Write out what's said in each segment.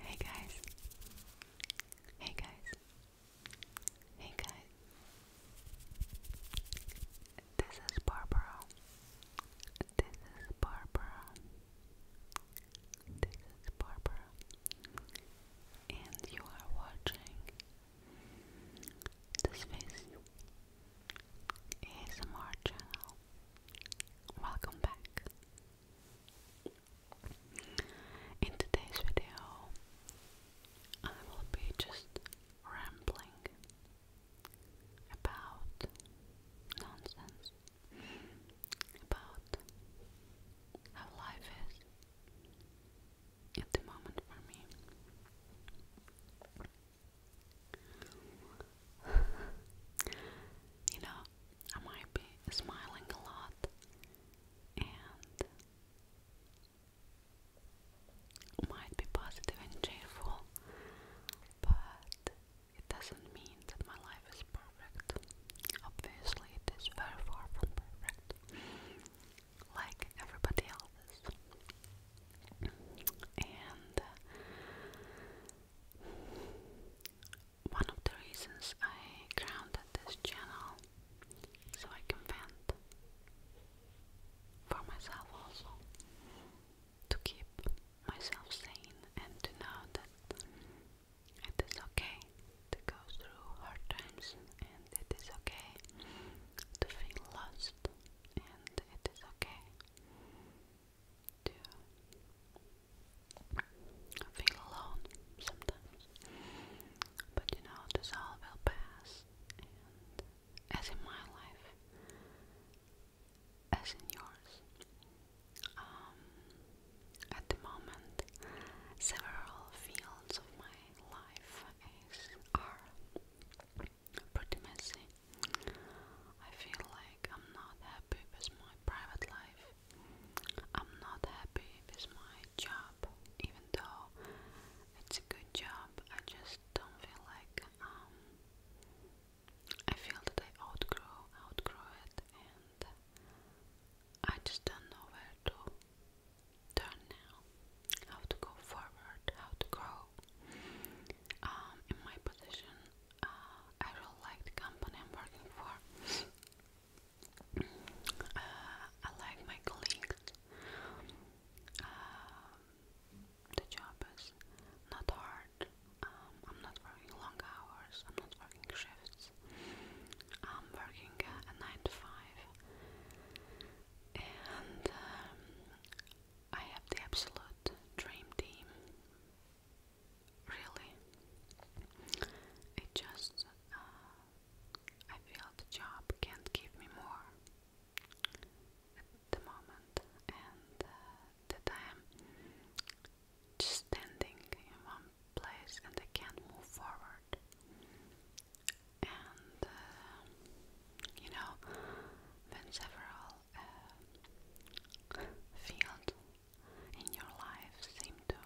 Hey guys. Hey guys. Hey guys. This is Barbara. This is Barbara. This is Barbara. And you are watching this face. ASMR channel. Welcome back. In today's video, I will be just rambling about nonsense, about how life is at the moment for me you know, I might be smiling a lot and might be positive and cheerful, but it doesn't mean that my life is perfect. Obviously, it is very far from perfect, like everybody else's and uh, one of the reasons I grounded this channel so I can vent for myself also to keep myself sane and to know that it is okay to go through hard times and it is okay to feel lost, and it is okay to feel alone sometimes. But you know, this all will pass, and as in my life, as in yours. Um, at the moment, several fields of my life are pretty messy. I feel like I'm not happy with my private life. I'm not happy with my job, even though it's a good job. I just don't feel like um I feel that I outgrow outgrow it and I just don't know where to turn now, how to go forward, how to grow. Um, in my position, uh, I really like the company I'm working for. Uh, I like my colleagues. Um, the job is not hard. Um, I'm not working long hours. I'm not working shifts. I'm working a nine to five and um, I have the absolute dream team. Really, it just uh, I feel the job can't give me more at the moment, and uh, that I am just standing in one place and I can't move forward and uh, you know when several uh, fields in your life seem to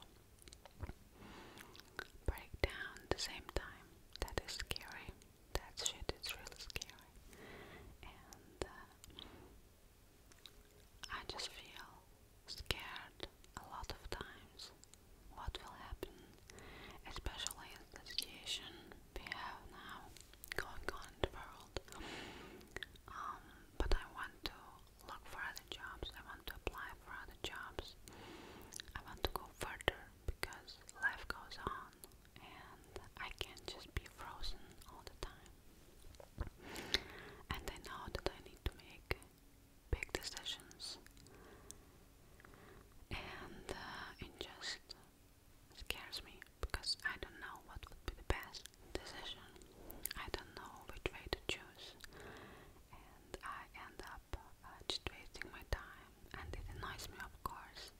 break down at the same time that is scary that shit is really scary and uh, I just feel scared a lot of times what will happen, especially in the situation we have now going on in the world. Um, but I want to look for other jobs, I want to apply for other jobs, I want to go further because life goes on and I can't just be frozen all the time. And I know that I need to make big decisions and uh, it just scares me because I don't know what would be the best decision. I don't know which way to choose and I end up uh, just wasting my time and it annoys me of course.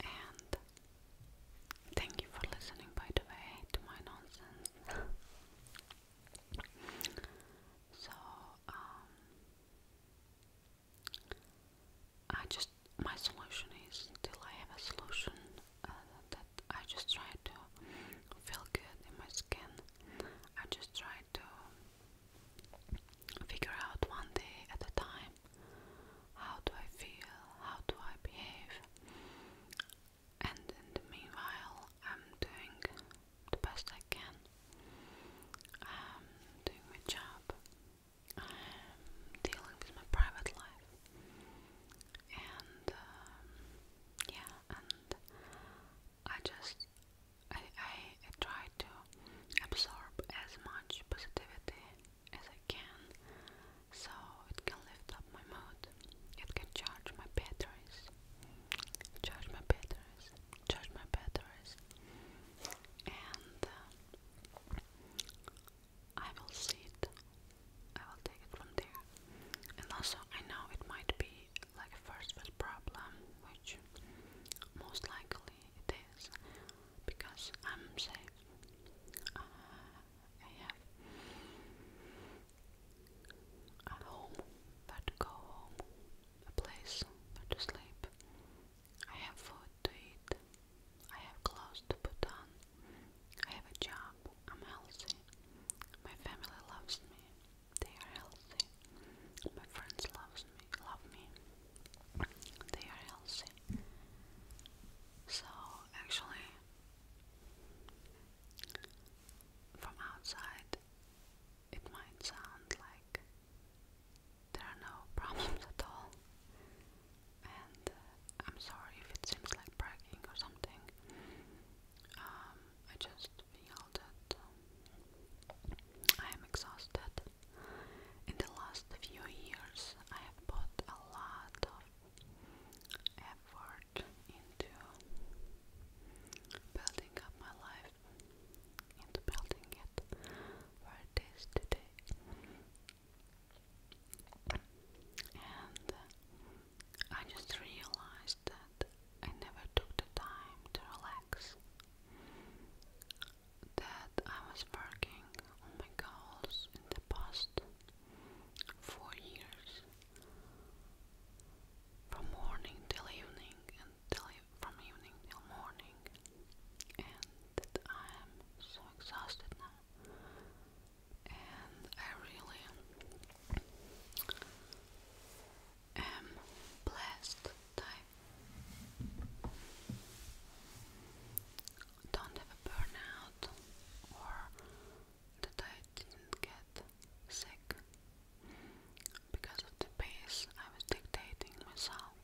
And thank you for listening by the way to my nonsense. So, um, I just, my solution is till I have a solution uh, that I just try to feel good in my skin. I just try to figure out one day at a time how do I feel, how do I behave, and in the meanwhile, I'm doing the best I can. I'm doing my job, dealing with my private life, and um, yeah, and I just I, I try to absorb as much positivity as I can so it can lift up my mood it can charge my batteries. Charge my batteries. Charge my batteries. And uh, I will see it. I will take it from there. And also, I know it might be like a first world problem, which most likely it is, because I'm safe. Uh, I have a home, but go home, a place but to sleep. I have food to eat, I have clothes to put on, I have a job, I'm healthy, my family loves me, they are healthy, my friends loves me, love me, they are healthy. So actually from outside, it might sound like there are no problems at all, and uh, I'm sorry if it seems like bragging or something. Um, I just feel that um, I am exhausted. In the last few years, I have bought a lot of effort into building up my life, into building it where it is today. And uh, I just realized that I never took the time to relax. That I was working on my goals in the past four years from morning till evening and from evening till morning and I am so exhausted now and I really am blessed don't have a burnout or that I didn't get sick because of the pace I was dictating myself.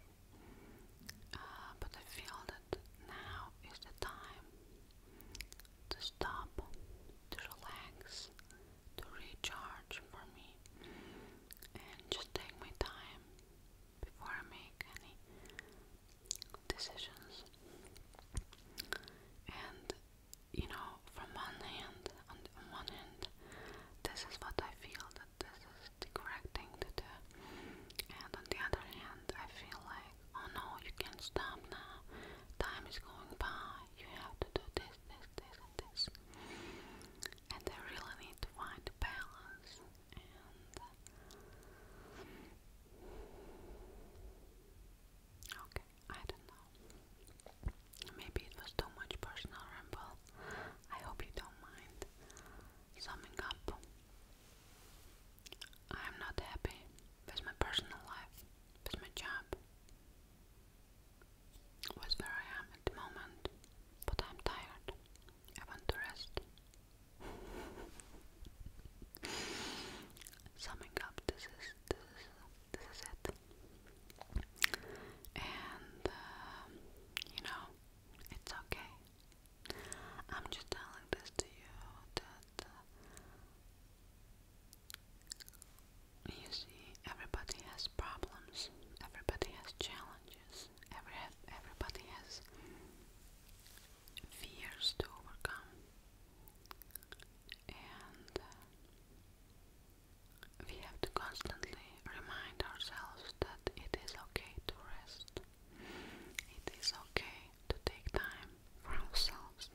Uh, but I feel that now is the time to stop, to relax, to recharge for me, and just take my time before I make any decisions. And you know, from one hand, on, the, on one hand, this is what I feel that this is the correct thing to do, and on the other hand, I feel like, oh no, you can't stop now. Time is going by. You have to do this, this, this, and this. And I really need to find a balance okay, I don't know. Maybe it was too much personal ramble. I hope you don't mind. Summing up, I'm not happy with my personal life, with my job, with where I am at the moment, but I'm tired. I want to rest. Summing up, this is this is this is it. And um, you know, it's okay. I'm just telling this to you that uh, you see, everybody has problems. Everybody has challenges every everybody has fears to overcome and uh, we have to constantly remind ourselves that it is okay to rest. It is okay to take time for ourselves.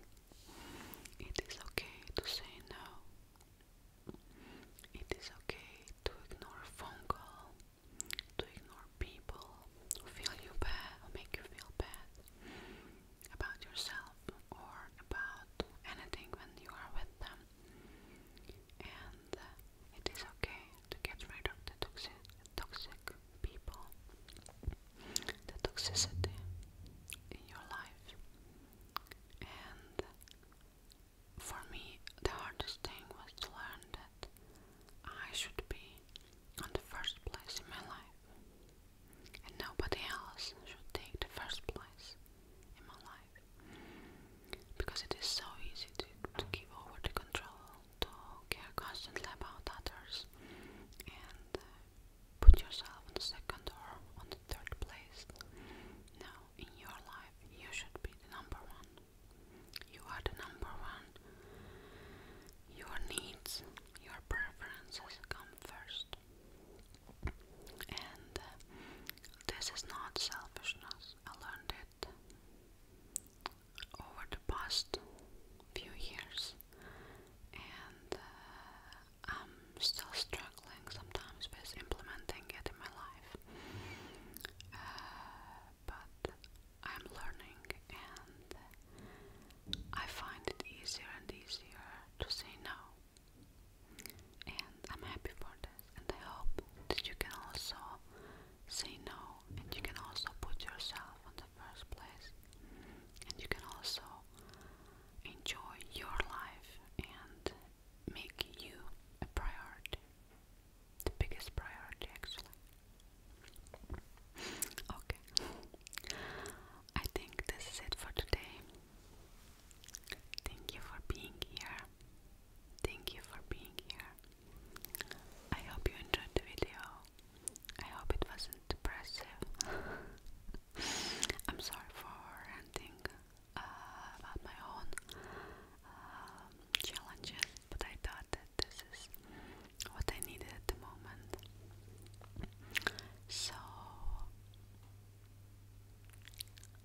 It is okay to say no. It is okay to ignore a phone call to ignore people who feel you bad or make you feel bad about yourself or about anything when you are with them. And uh, it is okay to get rid of the toxic toxic people, the toxicity in your life, and for me, the hardest thing was to learn that I should be on the first place in my life, and nobody else should take the first place in my life because it is so easy to, to give over the control, to care constantly about others, and uh, put yourself on the second or on the third place. Now, in your life, you should be the number one. You are the number one. Your needs, your preferences come first. And uh, this is not selfishness. I learned it over the past few years. And uh, I'm still struggling sometimes with implementing it in my life. Uh, but I'm learning and I find it easier and easier to say no. And I'm happy for this, and I hope that you can also say no, and you can also put yourself in the first place, and you can also enjoy your life and make you a priority. The biggest priority, actually. Okay. I think this is it for today. Thank you for being here. Thank you for being here. I hope you enjoyed the video. I hope it wasn't depressive. I'm sorry for ranting about uh, my own um, challenges, but I thought that this is what I needed at the moment. So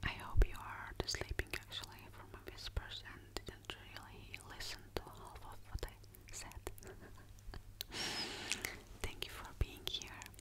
I hope you are sleeping actually from my whispers and really listen to half of what I said. Thank you for being here